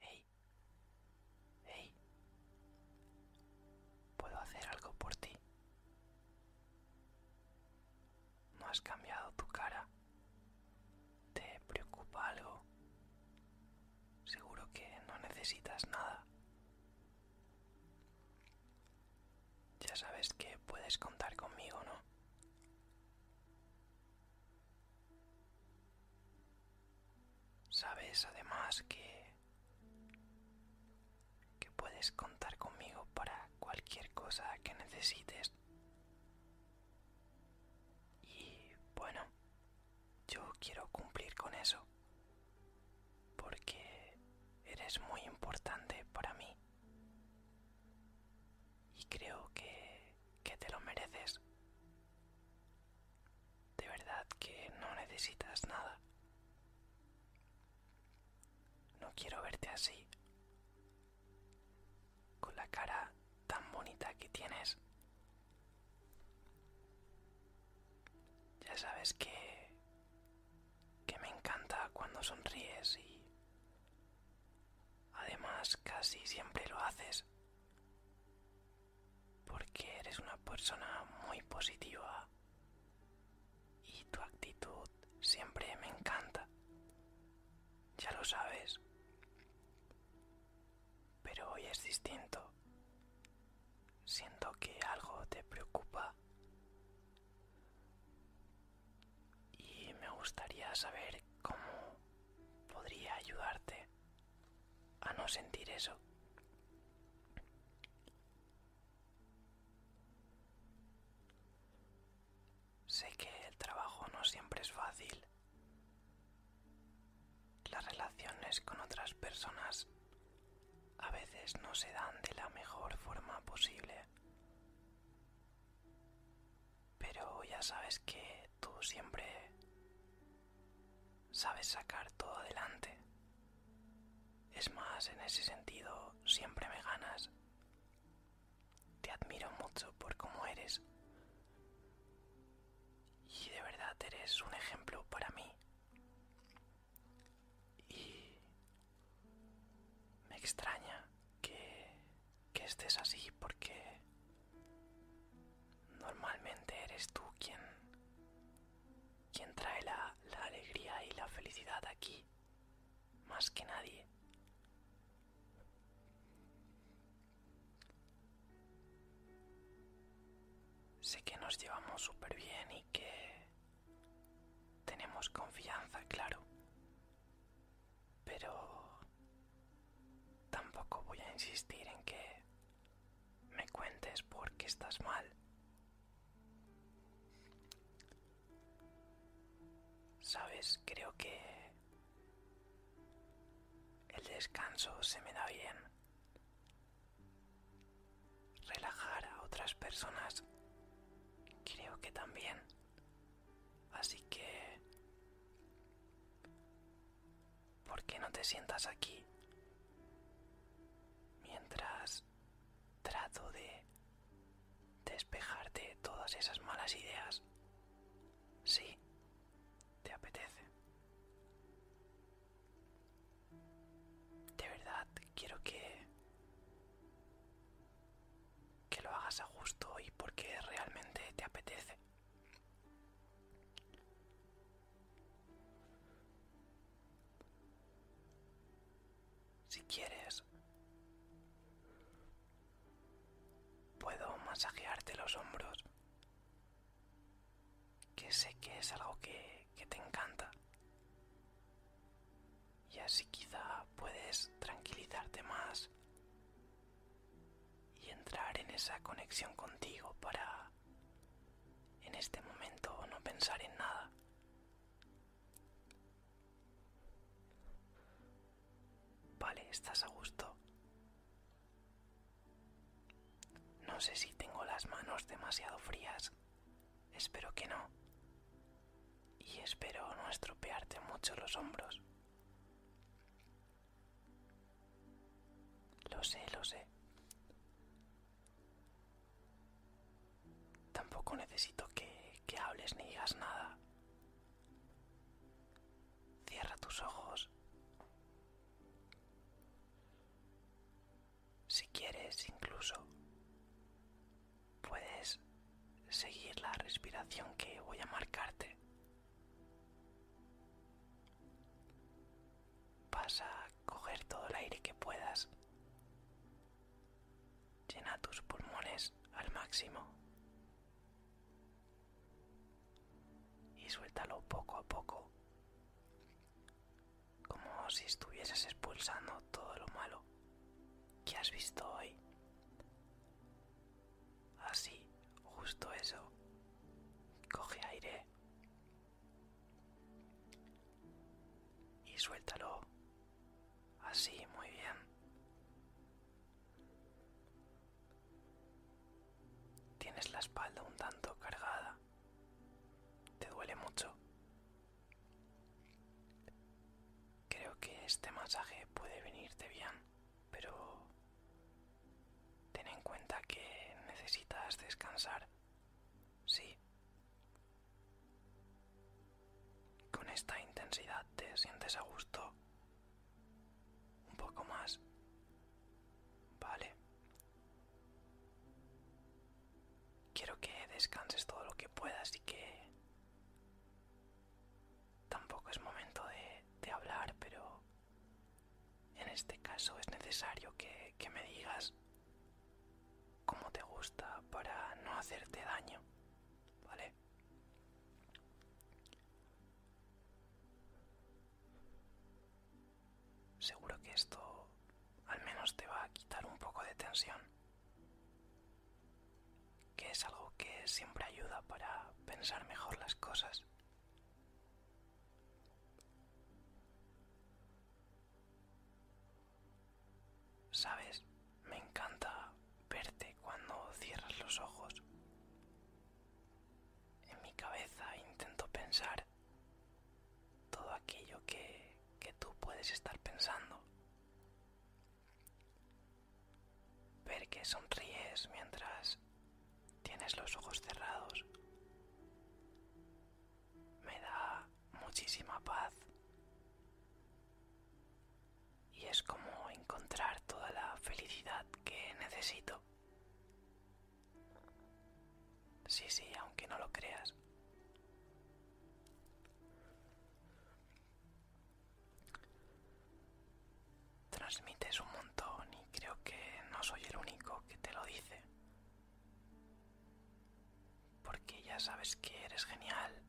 Hey, hey, ¿puedo hacer algo por ti? No has cambiado tu cara. ¿Te preocupa algo? Seguro que no necesitas nada. Ya sabes que puedes contar conmigo, ¿no? Sabes además que que puedes contar conmigo para cualquier cosa que necesites. Y bueno, yo quiero cumplir con eso. Porque eres muy importante para mí. Y creo que, que te lo mereces. De verdad que no necesitas nada. No quiero verte así, con la cara tan bonita que tienes. Ya sabes que que me encanta cuando sonríes y además casi siempre lo haces porque eres una persona muy positiva y tu actitud siempre me encanta. Ya lo sabes. Pero hoy es distinto. Siento que algo te preocupa. Y me gustaría saber cómo podría ayudarte a no sentir eso. Sé que el trabajo no siempre es fácil. Las relaciones con otras personas a veces no se dan de la mejor forma posible. Pero ya sabes que tú siempre sabes sacar todo adelante. Es más, en ese sentido, siempre me ganas. Te admiro mucho por cómo eres. Y de verdad eres un ejemplo para mí. Y me extraña que, que estés así porque Normalmente eres tú quien, trae la, la alegría y la felicidad aquí, más que nadie. Sé que nos llevamos súper bien y que tenemos confianza, claro. Pero tampoco voy a insistir en que me cuentes por qué estás mal. Sabes, creo que el descanso se me da bien. Relajar a otras personas creo que también. Así que ¿por qué no te sientas aquí? Mientras trato de despejarte todas esas malas ideas. Sí, te apetece. De verdad, quiero que que lo hagas a gusto y porque realmente te apetece. Si quieres, puedo masajearte los hombros, que sé que es algo que, te encanta. Y así quizá puedes tranquilizarte más y entrar en esa conexión contigo para en este momento no pensar en nada. Vale, estás a gusto. No sé si tengo las manos demasiado frías. Espero que no. Y espero no estropearte mucho los hombros. Lo sé, lo sé. Tampoco necesito que, hables ni digas nada. Cierra tus ojos. Si quieres, incluso, puedes seguir la respiración que voy a marcarte. Vas a coger todo el aire que puedas. Llena tus pulmones al máximo. Y suéltalo poco a poco. Como si estuvieses expulsando todo lo malo que has visto hoy. Así, justo eso. Coge aire. Y suéltalo. Así, muy bien. Tienes la espalda un tanto cargada. Te duele mucho. Creo que este masaje puede venirte bien pero ten en cuenta que necesitas descansar. Sí. Con esta intensidad te sientes a gusto. Un poco más. Vale. Quiero que descanses todo lo que puedas y que... Tampoco es momento de, de hablar, pero... En este caso es necesario que, me digas cómo te gusta para no hacerte daño, ¿vale? Seguro que esto al menos te va a quitar un poco de tensión, que es algo que siempre ayuda para pensar mejor las cosas. Sabes, me encanta verte cuando cierras los ojos. En mi cabeza intento pensar todo aquello que, que tú puedes estar pensando. Ver que sonríes mientras Tienes los ojos cerrados. Me da muchísima paz. Y es como encontrar toda la felicidad que necesito. Sí, sí, aunque no lo creas transmites un montón y creo que no soy el único que te lo dice. Porque ya sabes que eres genial.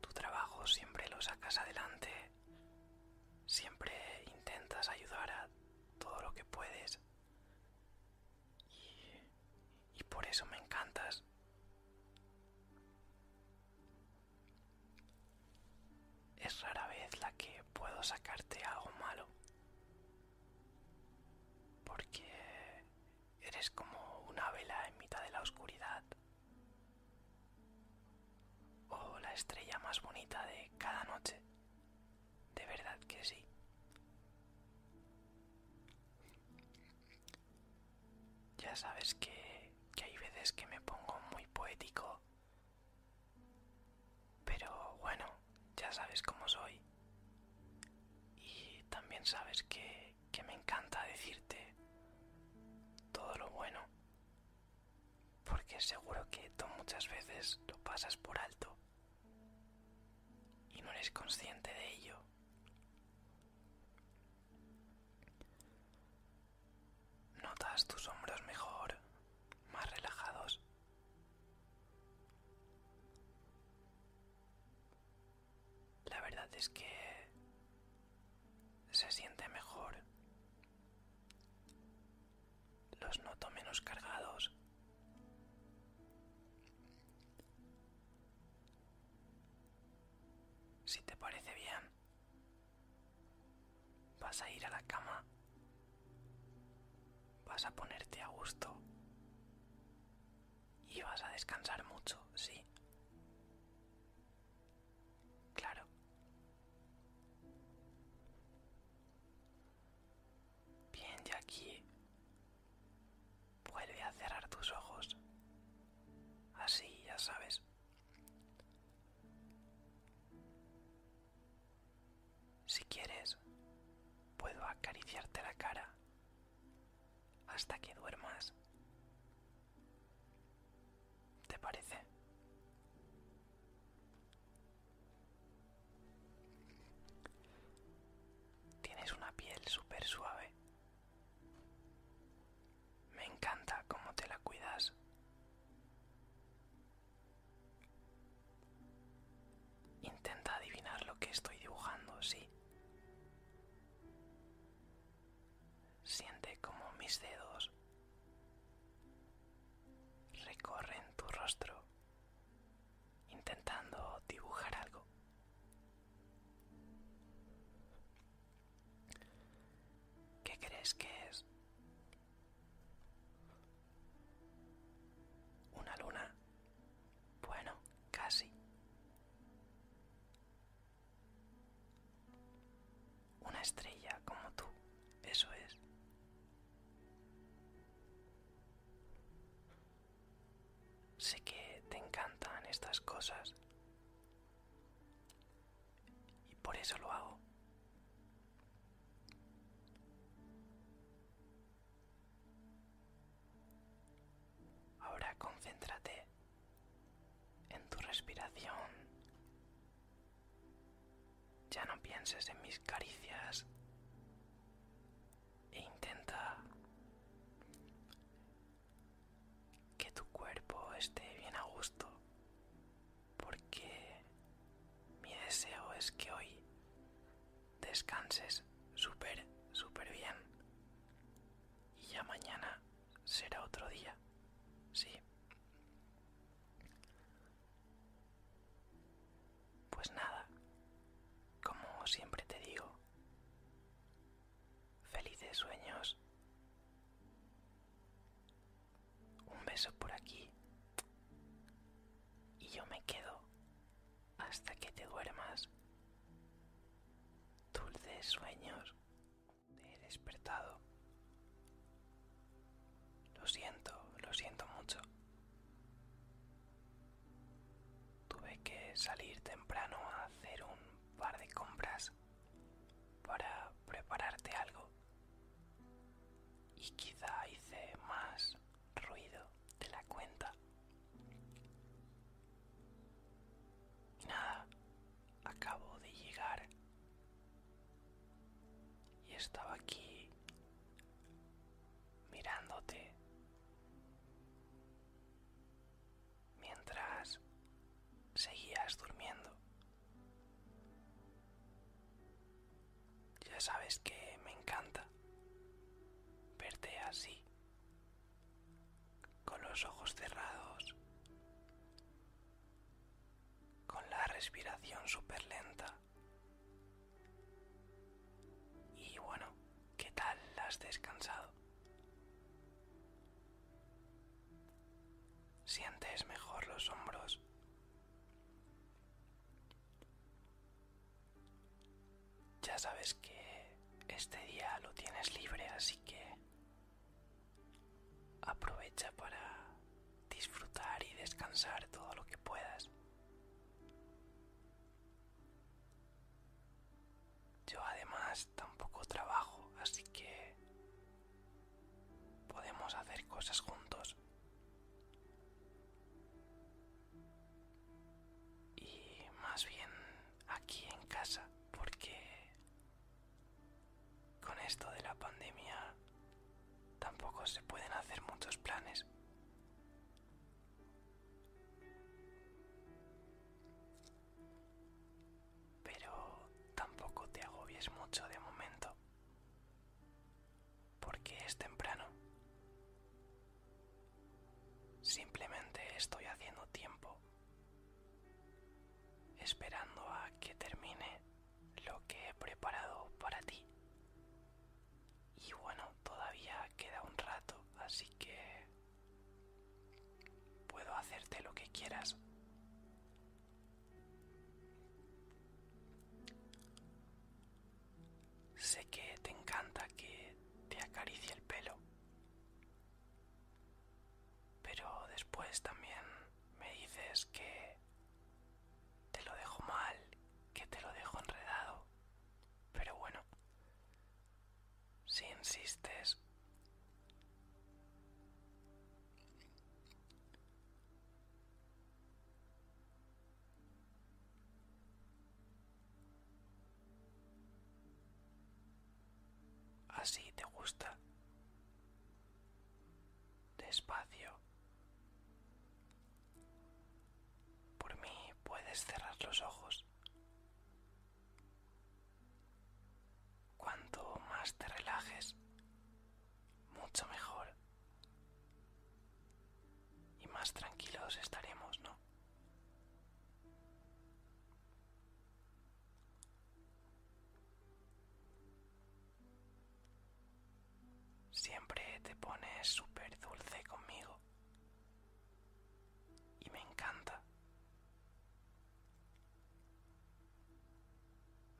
Tu trabajo siempre lo sacas adelante. Siempre intentas ayudar a todo lo que puedes. Y, por eso me encantas. Es rara vez la que puedo sacarte algo malo. Porque eres como una vela en mitad de la oscuridad. O la estrella más bonita de cada noche. De verdad que sí. Ya sabes que, hay veces que me pongo muy poético pero bueno, ya sabes cómo soy. Y también sabes que, me encanta decirte todo lo bueno. Porque seguro que tú muchas veces lo pasas por alto. Y no eres consciente de ello. Notas tus hombros mejor, más relajados. La verdad es que se siente mejor. Los noto menos cargados. Si te parece bien, Vas a ir a la cama. Vas a ponerte a gusto. Y vas a descansar mucho, sí. Claro. Bien, de aquí vuelve a cerrar tus ojos. Así, ya sabes. Si quieres, puedo acariciarte la cara hasta que duermas. ¿Te parece? Tienes una piel súper suave. Me encanta cómo te la cuidas. Intenta adivinar lo que estoy dibujando, sí. Siente como mis dedos recorren tu rostro intentando dibujar algo. ¿Qué crees que es? Una luna. Bueno, casi. Una estrella como tú, eso es. Sé que te encantan estas cosas. Y por eso lo hago. Ahora concéntrate en tu respiración. Ya no pienses en mis caricias e intenta que tu cuerpo esté bien a gusto porque mi deseo es que hoy descanses súper, súper bien. Y ya mañana será otro día, ¿sí? Pues nada, como siempre te digo, felices sueños un beso por aquí y yo me quedo hasta que te duermas. Dulces sueños. de despertado. Lo siento, lo siento mucho. Tuve que salir temprano a hacer un par de compras para prepararte algo y quizá hice más ruido de la cuenta. Y nada, acabo de llegar y estaba aquí mirándote mientras seguías durmiendo. Ya sabes que me encanta verte así, con los ojos cerrados, con la respiración súper lenta. Y bueno, ¿qué tal has descansado? Sientes mejor los hombros ya sabes que este día lo tienes libre, así que aprovecha para disfrutar y descansar todo lo que puedas. Yo además tampoco trabajo, así que Podemos hacer cosas juntos. Y más bien aquí en casa, porque con esto de la pandemia tampoco se pueden hacer muchos planes. Pero tampoco te agobies mucho de momento porque es temprano. Simplemente estoy haciendo tiempo, esperando a que termine lo que he preparado para ti. Y bueno, todavía queda un rato, así que puedo hacerte lo que quieras. Sé que te encanta que te acaricie el pelo, pero después también me dices que te lo dejo mal, que te lo dejo enredado, pero bueno, si insistes, Así te gusta. Despacio. Por mí puedes cerrar los ojos. Cuanto más te relajes, mucho mejor. Y más tranquilos estaremos, ¿no? Siempre te pones súper dulce conmigo. Y me encanta.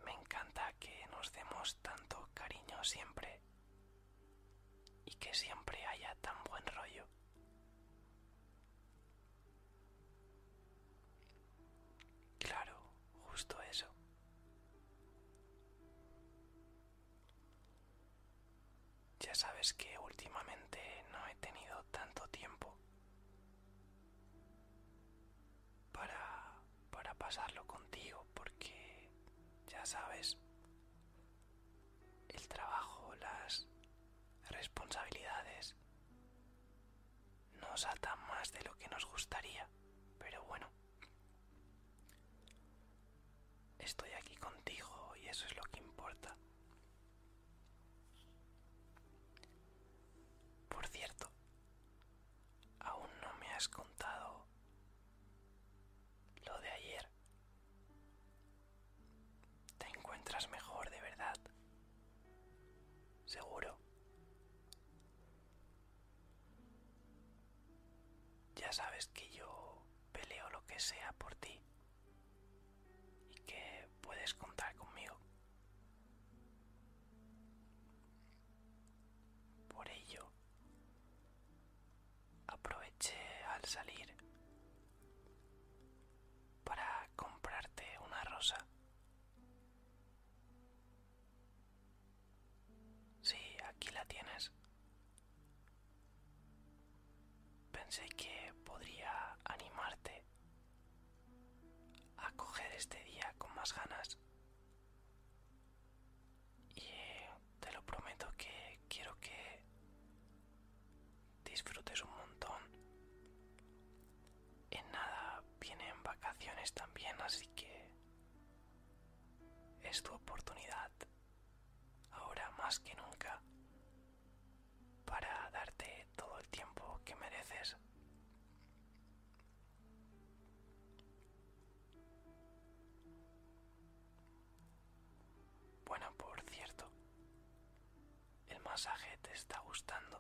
Me encanta que nos demos tanto cariño siempre y que siempre haya tan buen rollo. Claro, justo eso. Ya sabes que últimamente no he tenido tanto tiempo para, pasarlo contigo porque ya sabes el trabajo, las responsabilidades nos atan más de lo que nos gustaría, pero bueno, estoy aquí contigo y eso es lo que importa. Por cierto, Aún no me has contado lo de ayer. ¿Te encuentras mejor de verdad? Seguro. Ya sabes que yo peleo lo que sea por ti y que puedes contar conmigo. Por ello, aproveché al salir para comprarte una rosa. Sí, aquí la tienes. Pensé que podría animarte a coger este día con más ganas y eh, te lo prometo que quiero que disfrutes un montón. En nada vienen vacaciones también, así que es tu oportunidad ahora más que nunca para darte todo el tiempo que mereces bueno, por cierto, el masaje te está gustando.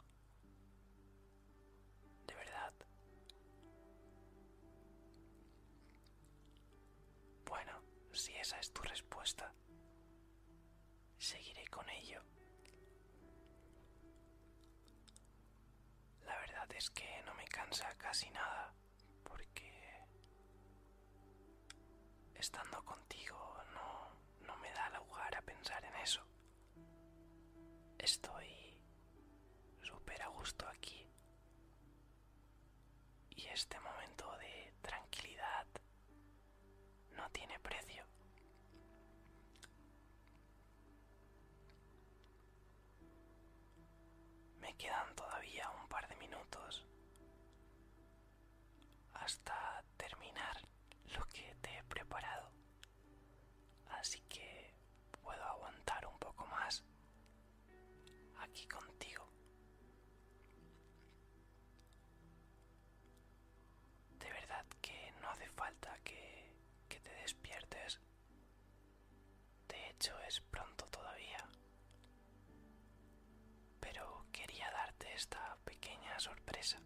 De verdad. Bueno, si esa es tu respuesta, seguiré con ello. La verdad es que no me cansa casi nada porque estando contigo no, me da lugar a pensar en eso. Estoy súper a gusto aquí y este momento de tranquilidad no tiene precio. Me quedan todavía un par de minutos hasta terminar lo que te he preparado. Así que puedo aguantar un poco más aquí contigo. De verdad que no hace falta que, te despiertes de hecho, es pronto todavía. Pero quería darte esta pequeña sorpresa.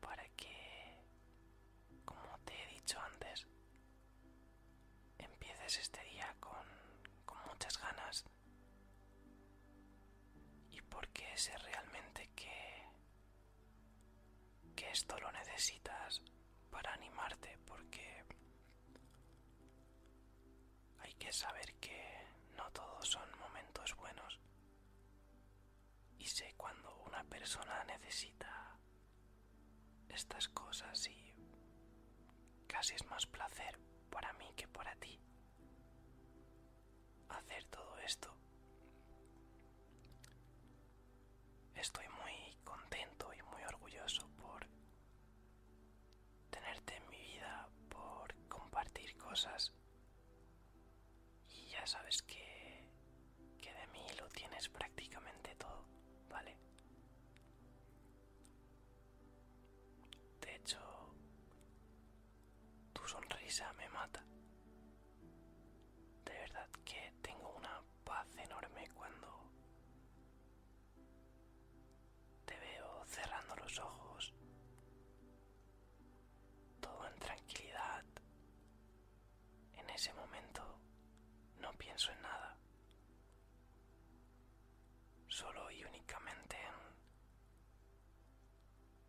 Para que, como te he dicho antes, empieces este día con, con muchas ganas. Y porque sé realmente que que esto lo necesitas para animarte porque hay que saber que no todos son momentos buenos y sé cuando una persona necesita estas cosas y casi es más placer para mí que para ti hacer todo esto Estoy muy contento y muy orgulloso por tenerte en mi vida, por compartir cosas. Y ya sabes que, de mí lo tienes prácticamente todo, ¿vale? De hecho, tu sonrisa me mata. De verdad que tengo una paz enorme cuando te veo cerrando los ojos, todo en tranquilidad. En ese momento no pienso en nada, solo y únicamente en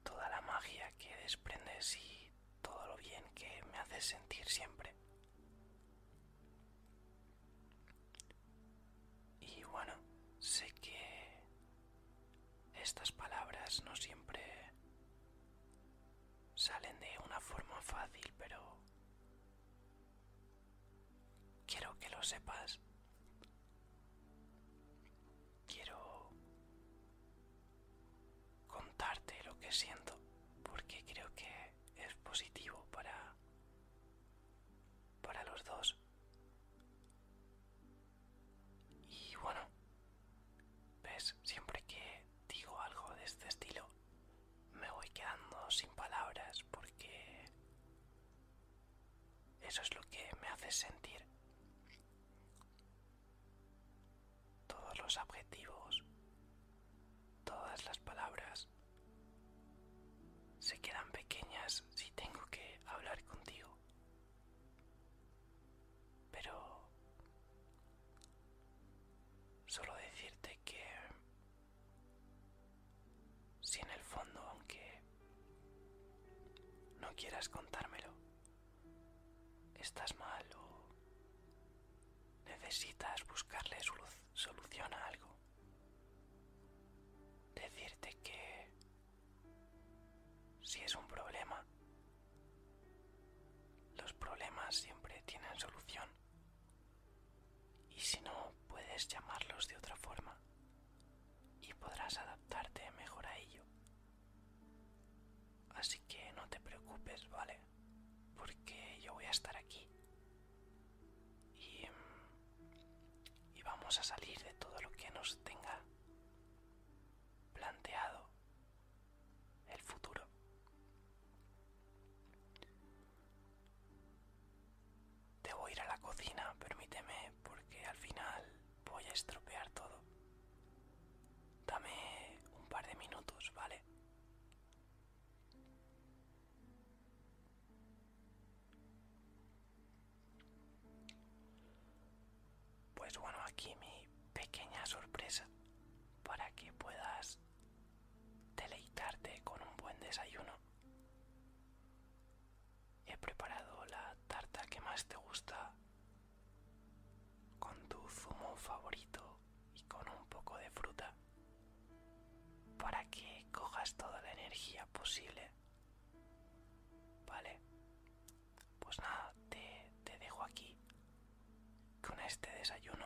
toda la magia que desprendes y todo lo bien que me hace sentir siempre. Y bueno, sé que estas palabras no siempre salen de una forma fácil, pero quiero que lo sepas. Quiero contarte lo que siento porque creo que es positivo para para los dos y bueno ves siempre que digo algo de este estilo me voy quedando sin palabras porque eso es lo que me hace sentir todos los adjetivos, todas las palabras se quedan pequeñas si tengo que hablar contigo. Pero solo decirte que si en el fondo, aunque no quieras contármelo, estás mal o Necesitas buscarle solución a algo. Decirte que si es un problema, los problemas siempre tienen solución. Y si no, puedes llamarlos de otra forma y podrás adaptarte mejor a ello. Así que no te preocupes, ¿vale? Porque yo voy a estar aquí. Y, mm, vamos a salir de todo lo que nos tenga planteado el futuro. Debo ir a la cocina, permíteme, porque al final voy a estropear todo. Dame un par de minutos, ¿vale? Pues bueno, aquí mi pequeña sorpresa para que puedas deleitarte con un buen desayuno. He preparado la tarta que más te gusta con tu zumo favorito y con un poco de fruta para que cojas toda la energía posible. Vale, pues nada, te, dejo aquí con este desayuno.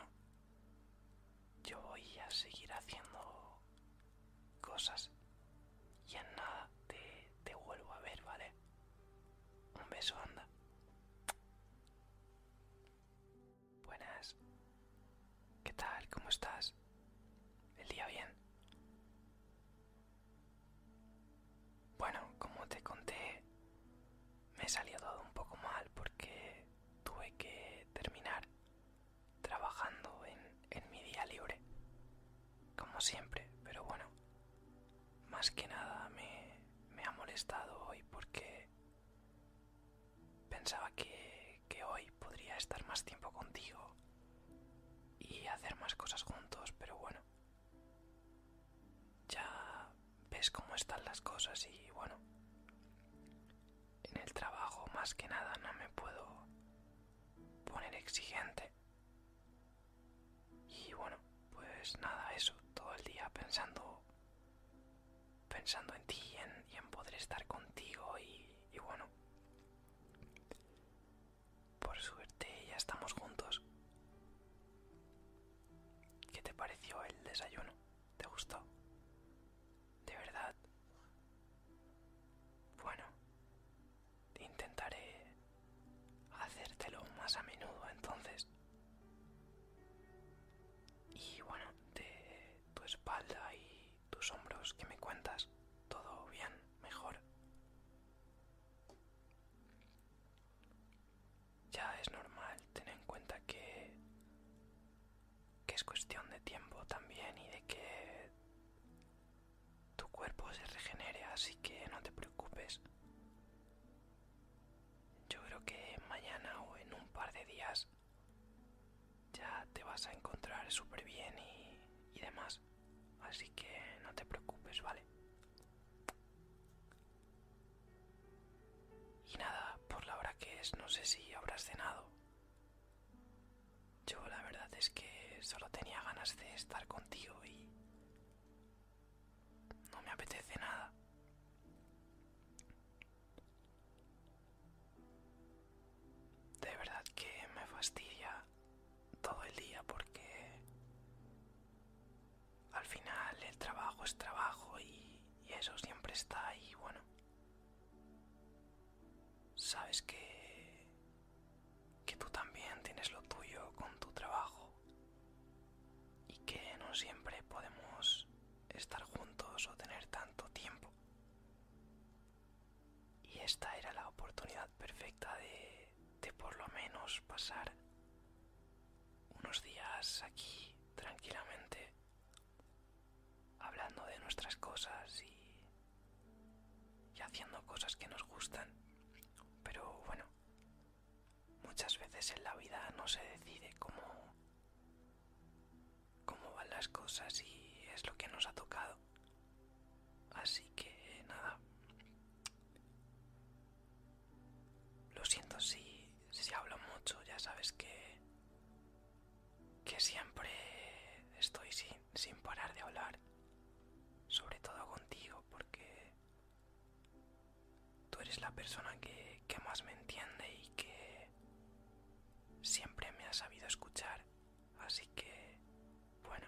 Yo voy a seguir haciendo cosas y en nada te, te vuelvo a ver, ¿vale? Un beso, anda. Buenas. ¿Qué tal? ¿Cómo estás? ¿El día bien? Bueno, como te conté, me salió todo un poco mal porque tuve que terminar trabajando en, en mi día libre. Como siempre, pero bueno, más que nada me, me ha molestado hoy porque pensaba que, que hoy podría estar más tiempo contigo y hacer más cosas juntos, pero bueno, ya ves cómo están las cosas y bueno, en el trabajo más que nada no me puedo poner exigente. Y bueno, pues nada, eso, todo el día pensando pensando en ti y en, poder estar contigo y, y bueno, por suerte ya estamos juntos. ¿Qué te pareció el desayuno? ¿Te gustó? ¿De verdad? Bueno, intentaré hacértelo más a menudo entonces. Y bueno, de tu espalda y tus hombros, ¿qué me cuentas? ¿Todo bien? ¿Mejor? Ya es normal, tener en cuenta que, que es cuestión de tiempo también y de que tu cuerpo se regenere, así que no te preocupes yo creo que mañana o en un par de días ya te vas a encontrar súper bien y, demás. Así que no te preocupes, ¿vale? Y nada, por la hora que es, no sé si habrás cenado. Yo la verdad es que solo tenía ganas de estar contigo y, no me apetece nada. De verdad que me fastidia todo el día porque al final el trabajo es trabajo y, eso siempre está ahí, bueno. Sabes que que tú también tienes lo tuyo con tu trabajo y que no siempre podemos estar juntos o tener tanto tiempo. Y esta era la oportunidad perfecta de, por lo menos pasar unos días aquí tranquilamente hablando de nuestras cosas y, y haciendo cosas que nos gustan. Pero bueno, Muchas veces en la vida no se decide cómo, cómo van las cosas y es lo que nos ha tocado. Así que nada. Lo siento si, hablo mucho, ya sabes que, siempre estoy sin parar de hablar, sobre todo contigo, porque Tú eres la persona que, más me entiende y que siempre me ha sabido escuchar. Así que, bueno,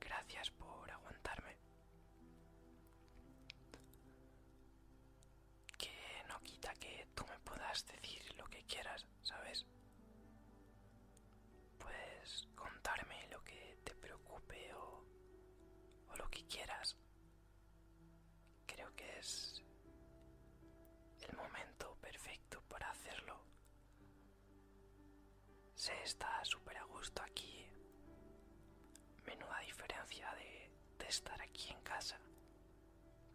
gracias por aguantarme. Que no quita que tú me puedas decir lo que quieras, ¿sabes? Puedes contarme lo que te preocupe o lo que quieras, Creo que es el momento perfecto para hacerlo. Se está súper a gusto aquí. Menuda diferencia de, de estar aquí en casa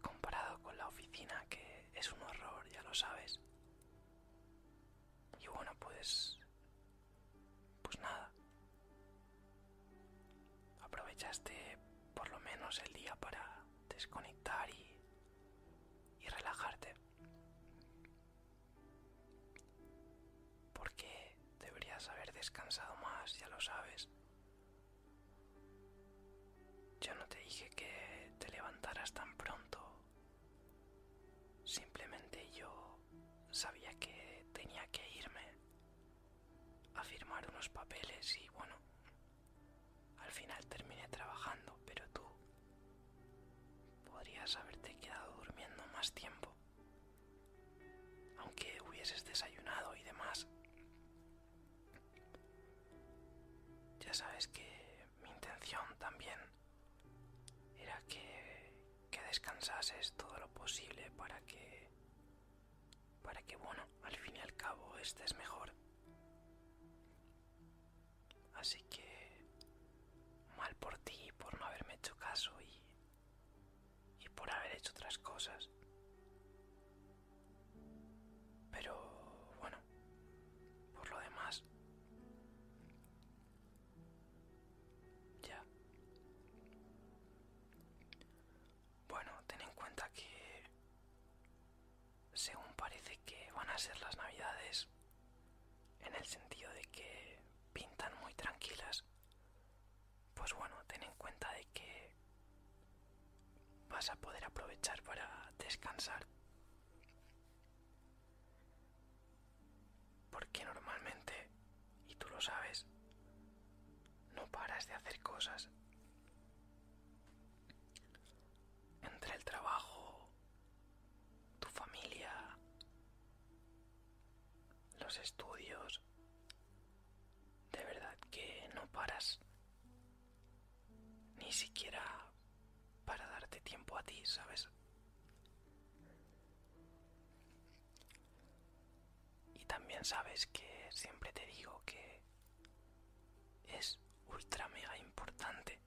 comparado con la oficina que es un horror, ya lo sabes. Y bueno, pues pues nada. Aprovechaste por lo menos el día para desconectar y, relajarte. Porque deberías haber descansado más, ya lo sabes. Yo no te dije que te levantaras tan pronto. Simplemente yo sabía que tenía que irme a firmar unos papeles y bueno, al final terminé trabajando, pero tú podrías haberte quedado durmiendo más tiempo, aunque hubieses desayunado y demás. Ya sabes que mi intención también era que, que descansases todo lo posible para que para que bueno al fin y al cabo estés mejor así que mal por ti por no haberme hecho caso y y por haber hecho otras cosas pero bueno por lo demás ya bueno, ten en cuenta que según parece que van a ser las navidades, en el sentido de que pintan muy tranquilas, pues bueno, ten en cuenta de que vas a poder aprovechar para descansar porque normalmente, y tú lo sabes, no paras de hacer cosas. Entre el trabajo, tu familia, los estudios, de verdad que no paras ni siquiera para darte tiempo a ti, ¿sabes? Y también sabes que siempre te digo que es ultra mega importante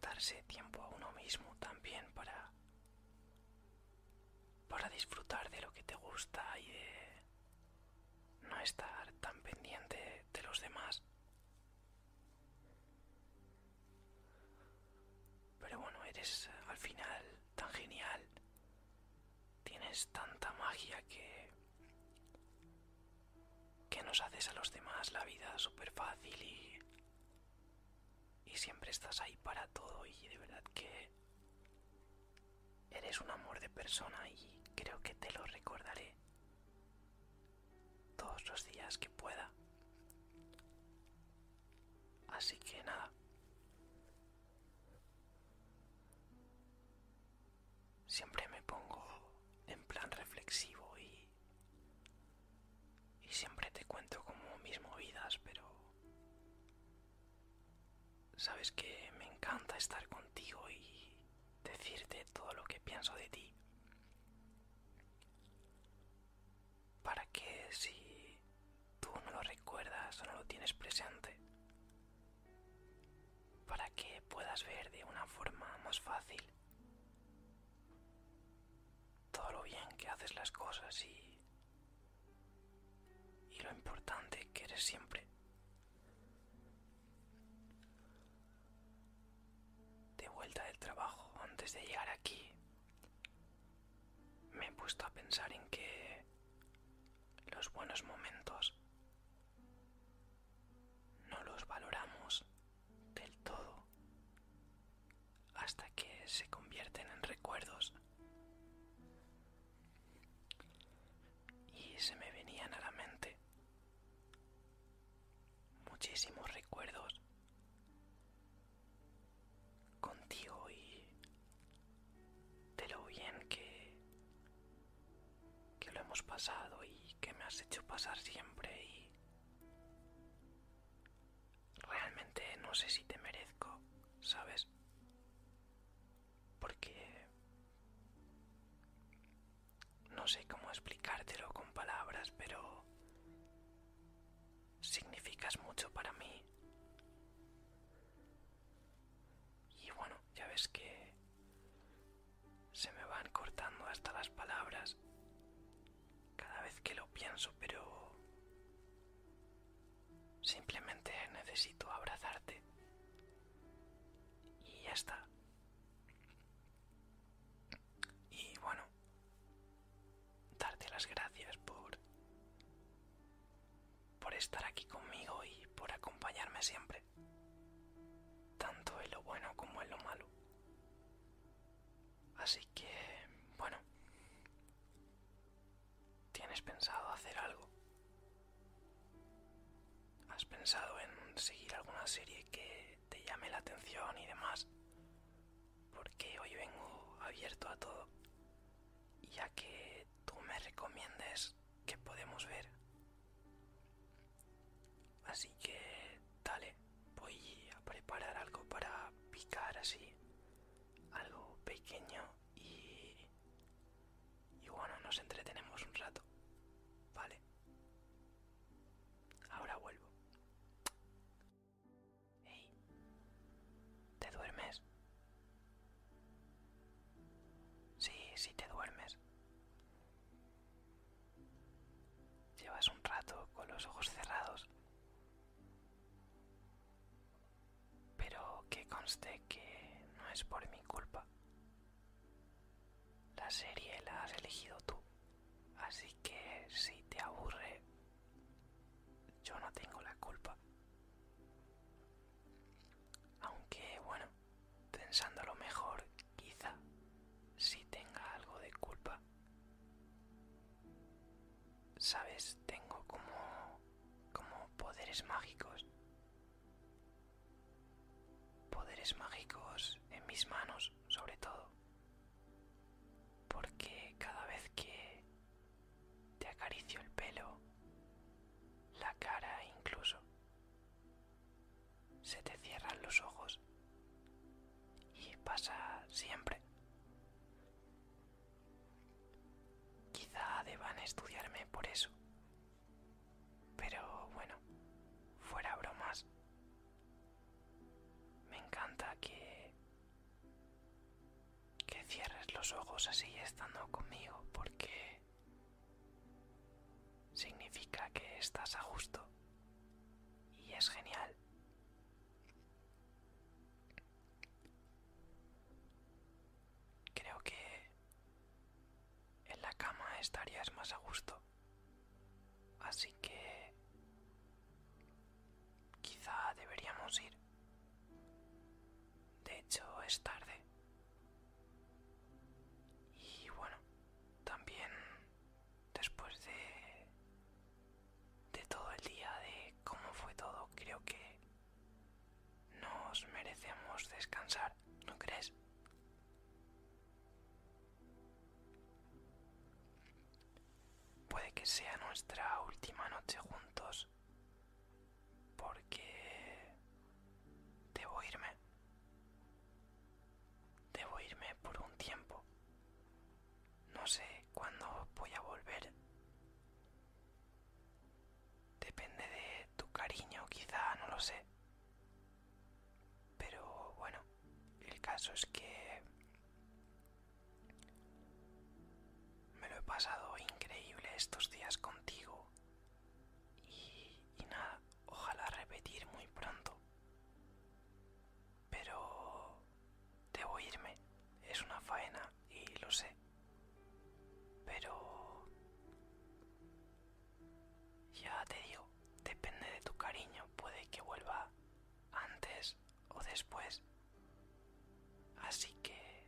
darse tiempo a uno mismo también para disfrutar de lo que te gusta y no estar tan pendiente de los demás. Pero bueno, eres eh, al final tan genial. Tienes tanta magia que... que nos haces a los demás la vida súper fácil y... Y siempre estás ahí para todo y de verdad que... Eres un amor de persona y creo que te lo recordaré todos los días que pueda. Así que nada. Siempre me pongo en plan reflexivo y, y siempre te cuento como mis movidas, pero sabes que me encanta estar contigo y decirte todo lo que pienso de ti para que si tú no lo recuerdas o no lo tienes presente, para que puedas ver de una forma más fácil todo lo bien que haces las cosas y, y lo importante que eres siempre. De vuelta del trabajo, antes de llegar aquí, me he puesto a pensar en que los buenos momentos no los valoramos del todo hasta que se convierten en recuerdos. Y se me venían a la mente muchísimos recuerdos contigo y de lo bien que, que lo hemos pasado y que me has hecho pasar siempre y realmente no sé si te merezco, ¿sabes? Porque no sé cómo explicártelo con palabras, pero significas mucho para mí. Y bueno, ya ves que se me van cortando hasta las palabras cada vez que lo pienso, pero simplemente necesito abrazarte. Y ya está. Y bueno, darte las gracias por por estar aquí conmigo y por acompañarme siempre, tanto en lo bueno como en lo malo. Así que, bueno, ¿tienes pensado hacer algo? ¿Has pensado en seguir alguna serie que te llame la atención y demás? porque hoy vengo abierto a todo ya que tú me recomiendes que podemos ver. Así que, dale, voy a preparar algo para picar así, algo pequeño y... Y bueno, nos entretenemos un rato. Vale. Ahora vuelvo. Hey, ¿te duermes? Sí, sí te duermes. Llevas un rato con los ojos cerrados. Pero que conste que no es por mi culpa. La serie la has elegido tú. Así que si te aburre yo no tengo la culpa. Aunque, bueno, pensando lo mejor, quizá Si tenga algo de culpa. Sabes, tengo como como poderes mágicos. Poderes mágicos en mis manos, sobre todo. Porque cada vez que te acaricio el pelo, la cara incluso. Se te cierran los ojos. Y pasa siempre. Quizá deban estudiarme por eso. Pero bueno, fuera bromas. Me encanta que que cierres los ojos así estando conmigo porque significa que estás a gusto y es genial. Creo que en la cama estarías más a gusto. Así que Quizá deberíamos ir. De hecho, es tarde. Y bueno, también después de de todo el día de cómo fue todo, creo que nos merecemos descansar, ¿no crees? Puede que sea nuestra última noche juntos porque debo irme. Debo irme por un tiempo. No sé cuándo voy a volver. Depende de tu cariño, quizá, no lo sé. Pero bueno, el caso es que me lo he pasado increíble estos días contigo y, nada, ojalá repetir muy pronto. Pero debo irme, es una faena y lo sé. Pero... Ya te digo, depende de tu cariño, puede que vuelva antes o después. Así que,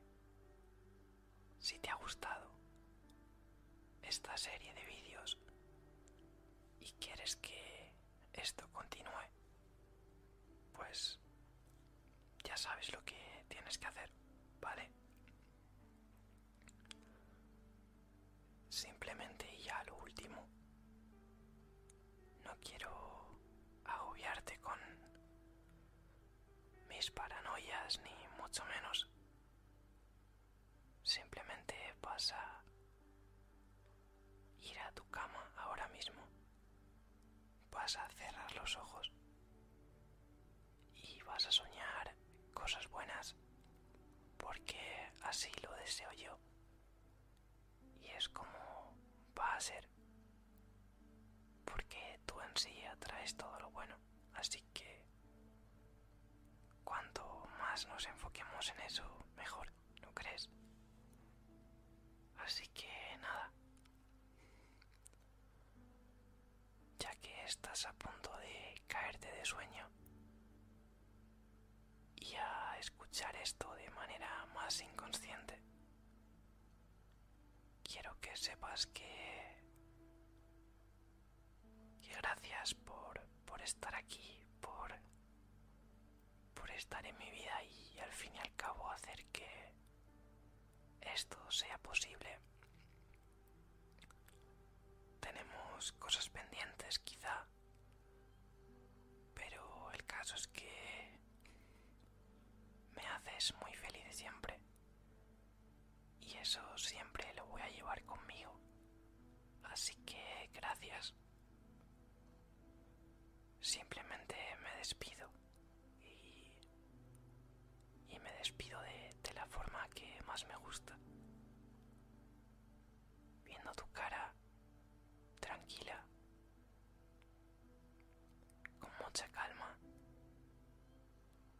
si te ha gustado esta serie de vídeos y quieres que esto continúe, pues ya sabes lo que tienes que hacer, ¿vale? Simplemente y ya lo último, no quiero agobiarte con mis paranoias ni mucho menos. Simplemente vas a ir a tu cama ahora mismo. Vas a cerrar los ojos y vas a soñar cosas buenas porque así lo deseo yo. Y es como va a ser porque tú en sí atraes todo lo bueno. Así que cuanto más nos enfoquemos en eso, mejor, ¿no crees? Así que nada, ya que estás a punto de caerte de sueño y a escuchar esto de manera más inconsciente, quiero que sepas que, que gracias por, por estar aquí, por, por estar en mi vida y al fin y al cabo hacer que esto sea posible. Tenemos cosas pendientes quizá, pero el caso es que me haces muy feliz siempre. Y eso siempre lo voy a llevar conmigo. Así que gracias. Simplemente me despido. Y, me despido de la forma que más me gusta. Viendo tu cara tranquila con mucha calma,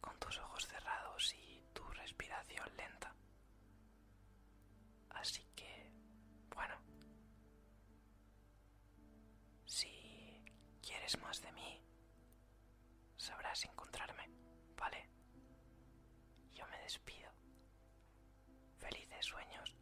con tus ojos cerrados y tu respiración lenta. Así que, bueno, si quieres más de mí, sabrás encontrarme, ¿vale? Yo me despido. Felices sueños.